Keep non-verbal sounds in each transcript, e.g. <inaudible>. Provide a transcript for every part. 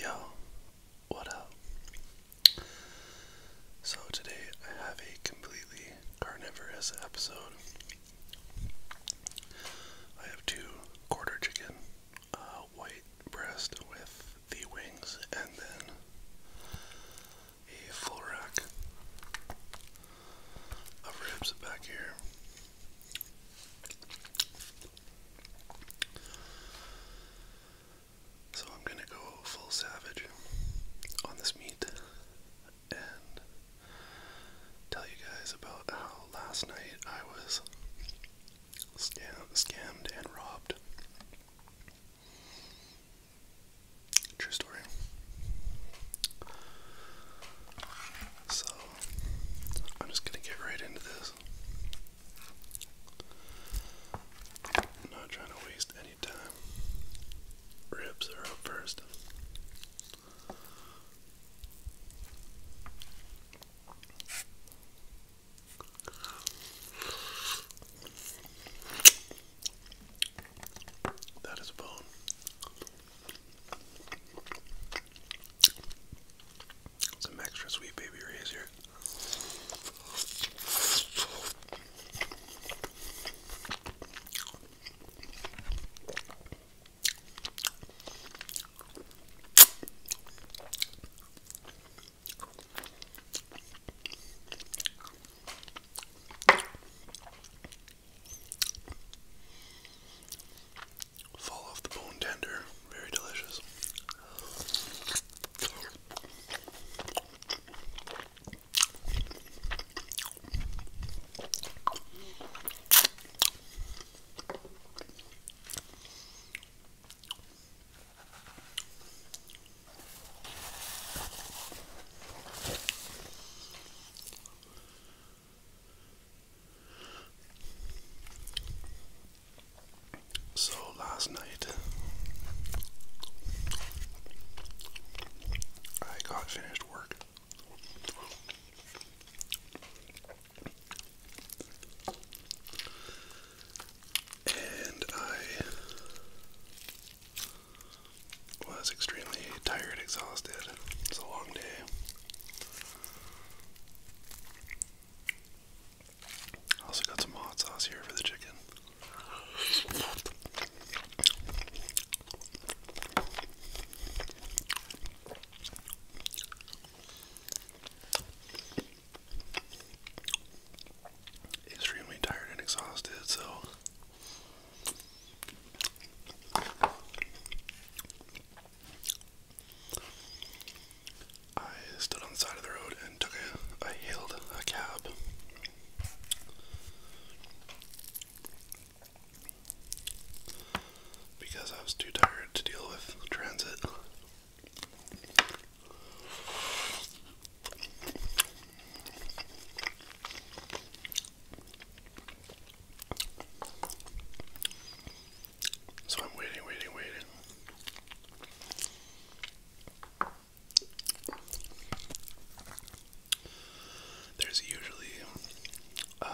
Yo, what up? So, today I have a completely carnivorous episode. I have two quarter chicken, uh, white breast with the wings, and then a full rack of ribs back here. So I'm gonna go full savage on this meat and tell you guys about how last night I was scam scammed and robbed. True story. So I'm just gonna get right into this. I'm not trying to waste any time. Ribs are up first. That is bone. Some extra sweet baby rays here fall off the bone tender. Very delicious. So last night I got finished work. And I was extremely tired, exhausted. It's a long day. Also got some hot sauce here for the chicken. Extremely tired and exhausted, so I stood on the side of the road and took a, I hailed a cab. Because I was too tired to deal with transit. So I'm waiting, waiting, waiting. There's usually um,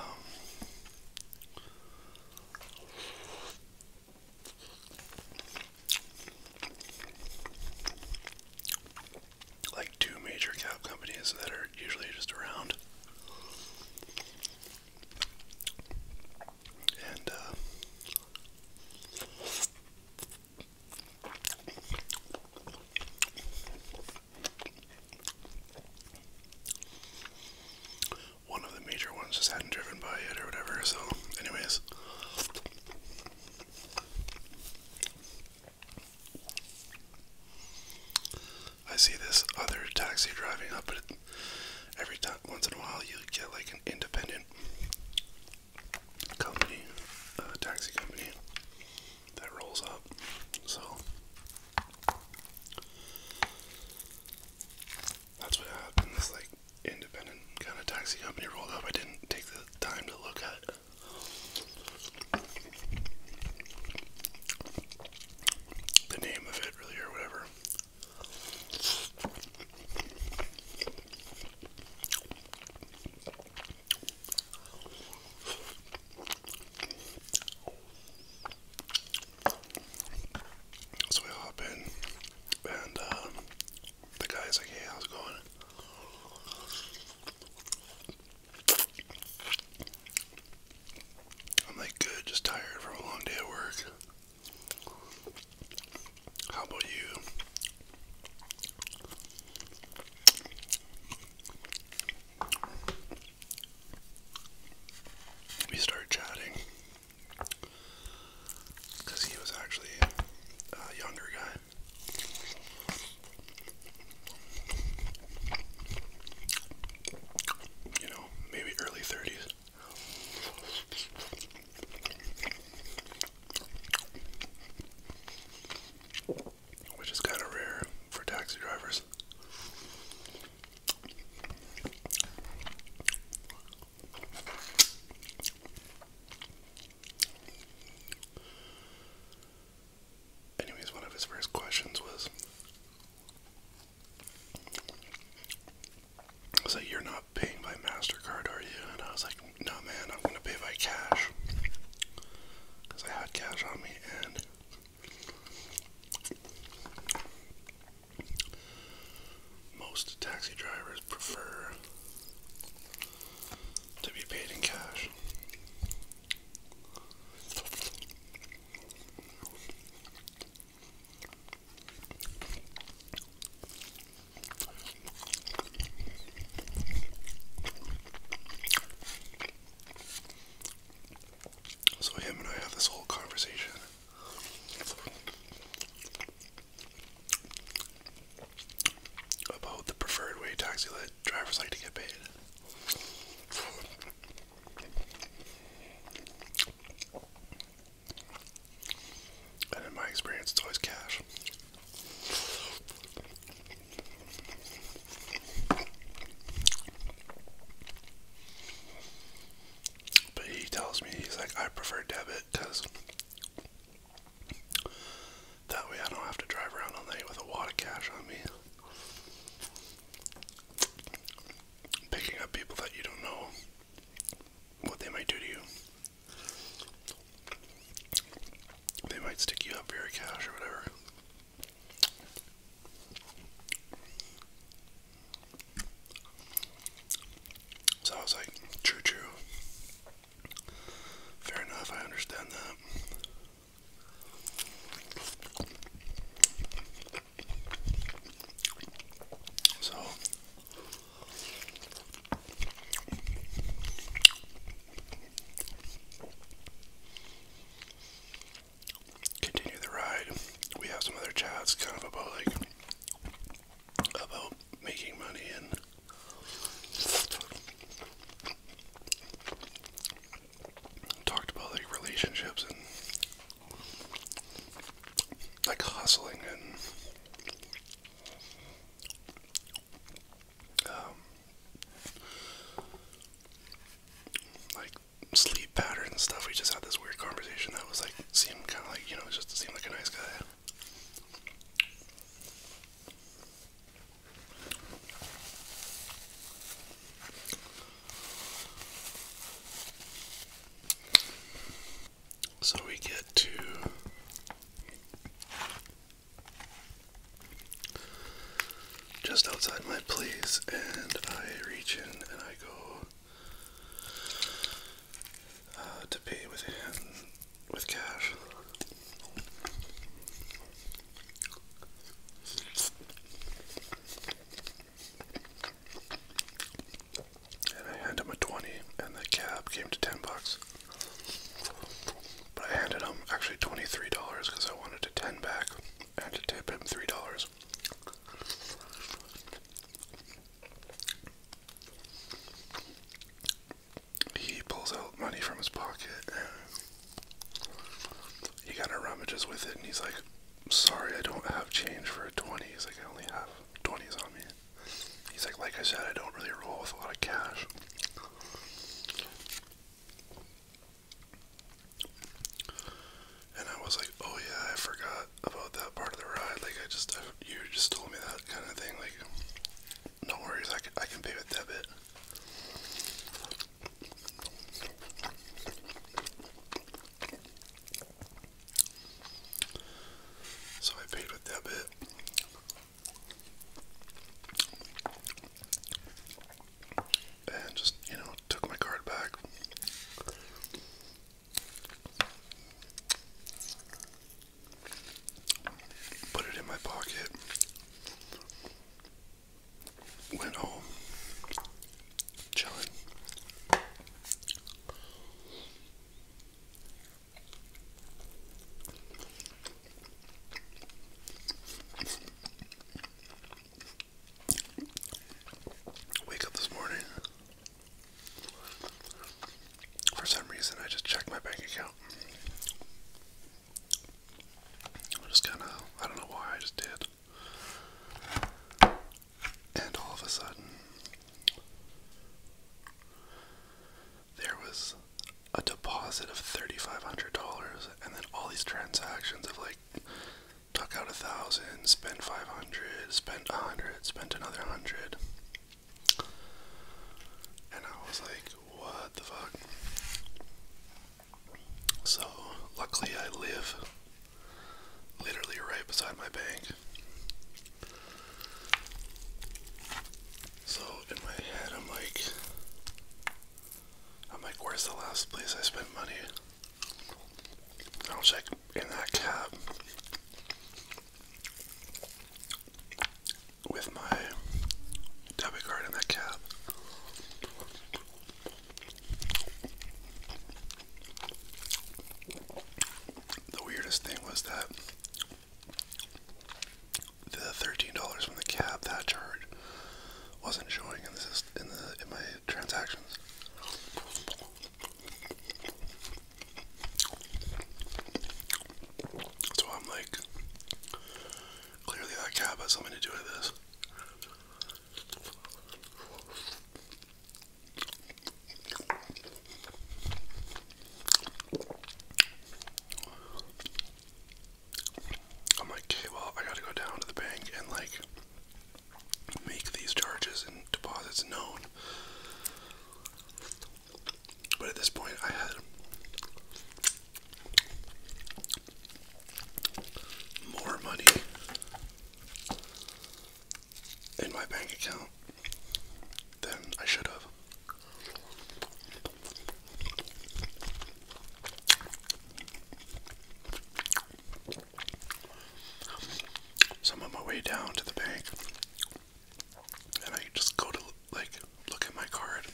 like two major cab companies that are usually just around and, uh, one of the major ones just hadn't driven by yet or whatever, so, anyways. I see this other taxi driving up, but every time, once in a while, you get like an independent company, uh, taxi company that rolls up. So that's what happened. This like independent kind of taxi company rolled up. I didn't take the time to look at. The name of it, really, or whatever. So we hop in, and uh, the guy's like, "Hey, how's it going?" I'm like good, just tired from a long day at work. How about you? We start chatting because he was actually a younger guy. You know, maybe early 30s. Which is kind of rare for taxi drivers. Anyways, one of his first questions was I was like, You're not paying by MasterCard, are you? And I was like, No, man, I'm going to pay by cash. I had cash on me, and most taxi drivers prefer to be paid in cash. So him and I have this whole conversation. About the preferred way taxi drivers like to get paid. And in my experience, it's always cash. But he tells me, he's like, I prefer debit because that way I don't have to drive around all night with a wad of cash on me picking up people that you don't know what they might do to you. They might stick you up for your cash or whatever. So I was like, true, true. Fair enough, I understand that. So continue the ride. We have some other chats kind of about like about making money and talked about like relationships and like hustling and um, like sleep patterns and stuff. We just had this weird conversation that was like seemed kind of like you know just seemed like a nice guy. So we get to just outside my place, and I reach in and I go uh, to pay with cash. And I handed him a 20 and the cab came to 10 bucks. But I handed him actually $23 because I wanted to 10 back and to tip him $3. He pulls out money from his pocket he kind of rummages with it and he's like, sorry, I don't have change for a 20. He's like, I only have 20s on me. He's like, like I said, I don't really roll with a lot of cash. And I was like, oh yeah, I forgot about that part of the ride. Like, I just, you just told me that kind of thing. Like, no worries, I can, I can pay with debit. So I paid with debit. And just, you know, took my card back. Put it in my pocket went home, chilling. Wake up this morning. For some reason, I just checked my bank account. just kind of, I don't know why I just did. And all of a sudden, there was a deposit of $3,500, and then all these transactions of like tuck out a thousand, spend 500, spend a 100, spend another 100. And I was like, what the fuck? So, luckily, I live literally right beside my bank. So, in my head, I'm like, I'm like, where's the last place I spent money? i was like, in that cab with my debit card in that cab. The weirdest thing was that the thirteen dollars from the cab that charge wasn't showing in the in my transactions. So I'm like, clearly that cab has something to do with this. I'm like, well, I gotta go down to the bank and like make these charges and deposits known. But at this point, I had more money in my bank account than I should have. So I'm on my way down to the bank and I just go to like look at my card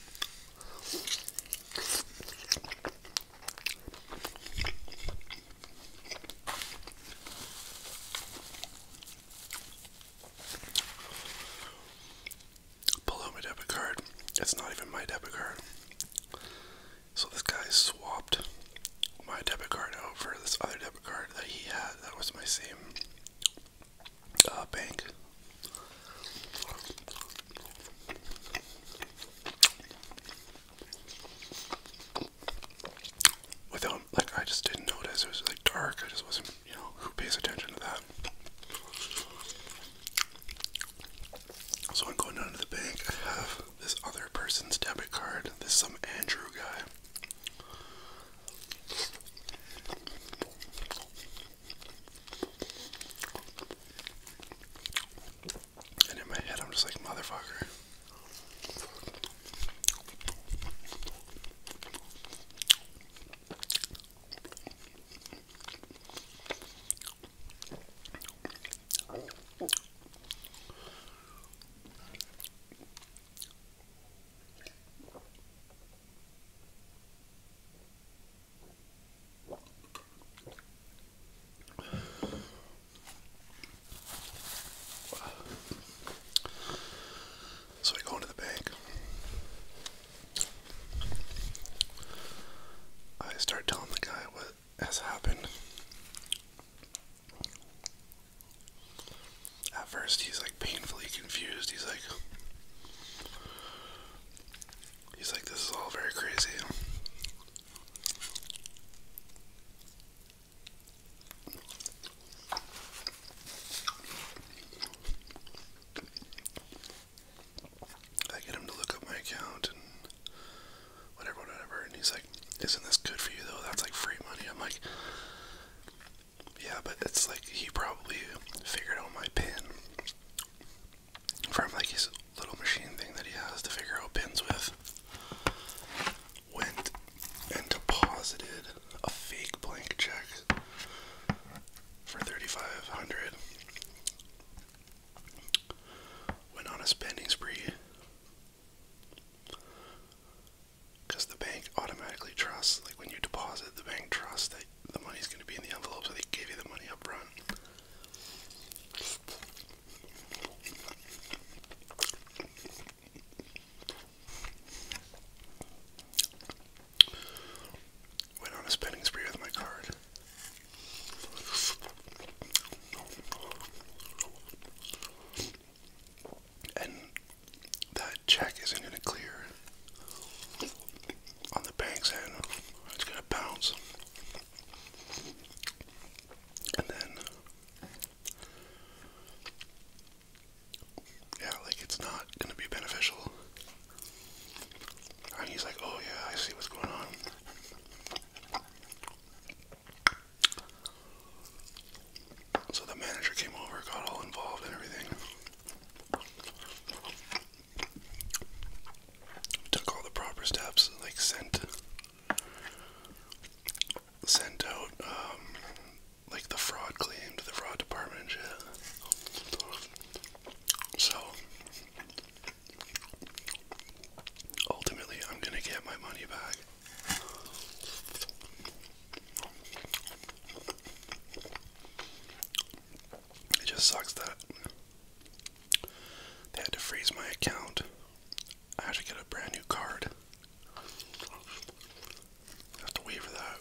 Below my debit card. It's not even my debit card. So this guy swapped my debit card over for this other debit card that he had. That was my same uh, bank. Without, like, I just didn't notice. It was like dark. I just wasn't, you know, who pays attention to that? So I'm going down to the bank. I have this other person's debit card. This some Andrew guy. And in my head, I'm just like, motherfucker. So I go into the bank. I start telling the guy what has happened. At first, he's like painfully confused. He's like, He's like, this is all very crazy. I get him to look up my account and whatever, whatever, and he's like, Isn't this good for you though? That's like free money. I'm like, Yeah, but it's like he probably figured out my pin from like his little machine thing that he has to figure out pins with went and deposited a fake blank check for 3500 went on a spending spree because the bank automatically trusts like when you deposit the bank trusts that the money's going to be in the envelope, so they gave you the money up front. Went on a spending spree with my card. And that check isn't going to clear on the bank's end. It's going to bounce. And then, yeah, like it's not gonna be beneficial. And he's like, oh yeah, I see what's going on. So the manager came over, got all involved and everything. Took all the proper steps, like sent sent out um, like the fraud claim the fraud department and So ultimately I'm gonna get my money back. It just sucks that they had to freeze my account. I had to get a brand new card. have to wait for that.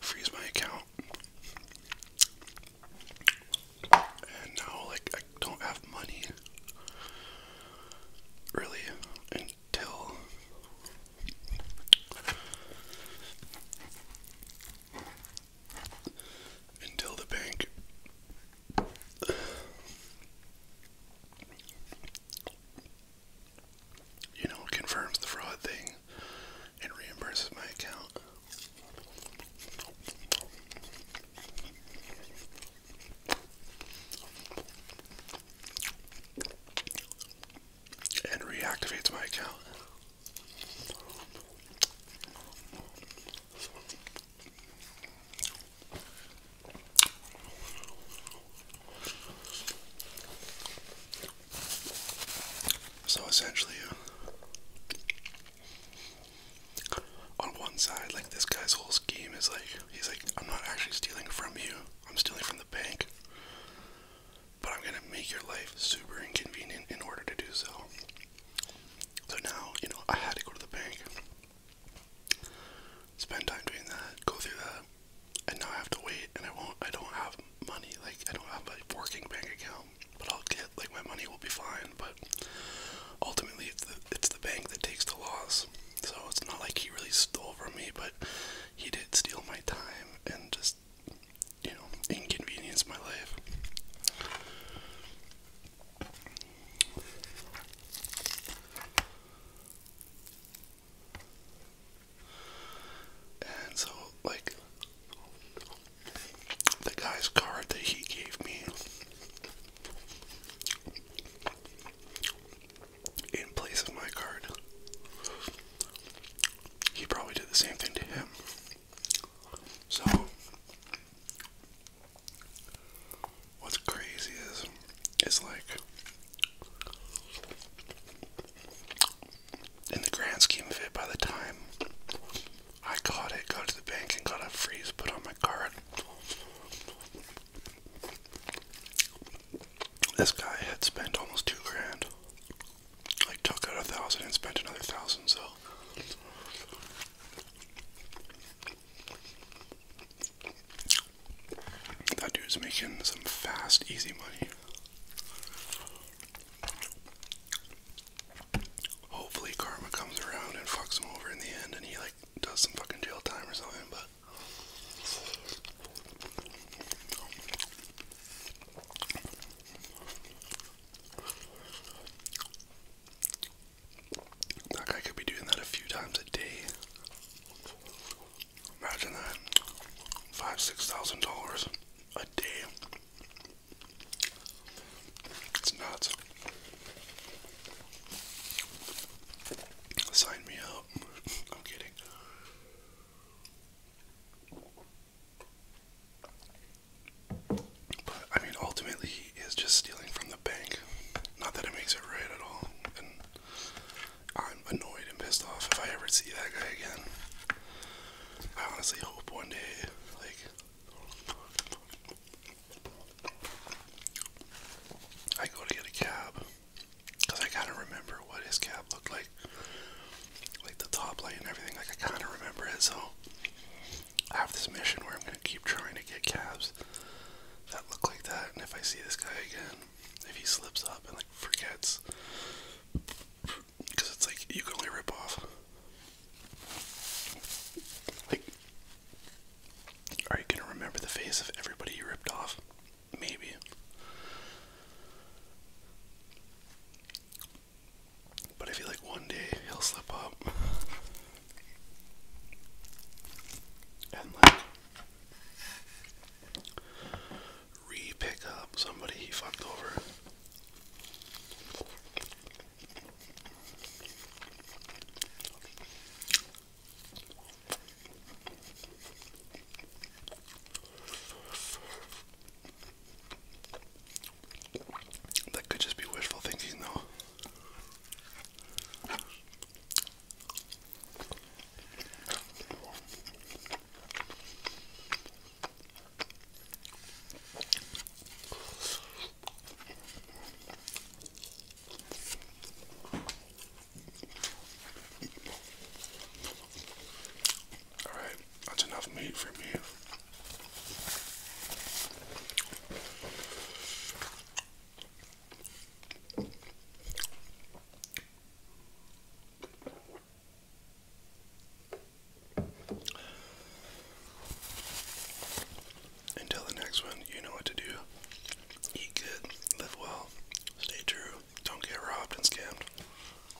Freeze my account. And now, like, I don't have money really until until the bank. You know, confirms the fraud thing and reimburses my account. And reactivates my account. So essentially, uh, on one side, like this guy's whole scheme is like, he's like, I'm not actually stealing from you, I'm stealing from the bank but I'm gonna make your life super inconvenient in order to do so. So now, you know, I had to go to the bank, spend time doing that, go through that, and now I have to wait, and I won't, I don't have money, like, I don't have a working bank account, but I'll get, like, my money will be fine, but ultimately it's the, it's the bank that takes the loss, so it's not like he really stole from me, but he did steal my time, and just just, you know, inconvenienced my life. And so, like, the guy's card that he gave me in place of my card, he probably did the same thing to him. So, what's crazy is, it's like, in the grand scheme of it, by the time I got it, got to the bank and got a freeze put on my card, this guy had spent almost two grand I took out a thousand and spent another thousand, so that dude's making some fast, easy money. Hopefully, karma comes around and fucks him over in the end, and he like does some fucking jail time or something. But that guy could be doing that a few times a day. Imagine that. Five, six thousand dollars a day. It's nuts. Sign me up. <laughs> I'm kidding. But I mean, ultimately, he is just stealing from the bank. Not that it makes it right at all. I'm annoyed and pissed off if I ever see that guy again. I honestly hope one day, like, I go to get a cab because I kind of remember what his cab looked like like the top light and everything. Like I kind of remember it. So I have this mission where I'm gonna keep trying to get calves that look like that. And if I see this guy again, if he slips up and like forgets, because it's like you can only rip off. Like, are you gonna remember the face of everybody you ripped off? Maybe. But I feel like one day he'll slip up. <laughs> and like re pick up somebody he fucked over. That could just be wishful thinking, though. Alright, that's enough meat for me. Until the next one, you know what to do. Eat good, live well, stay true, don't get robbed and scammed.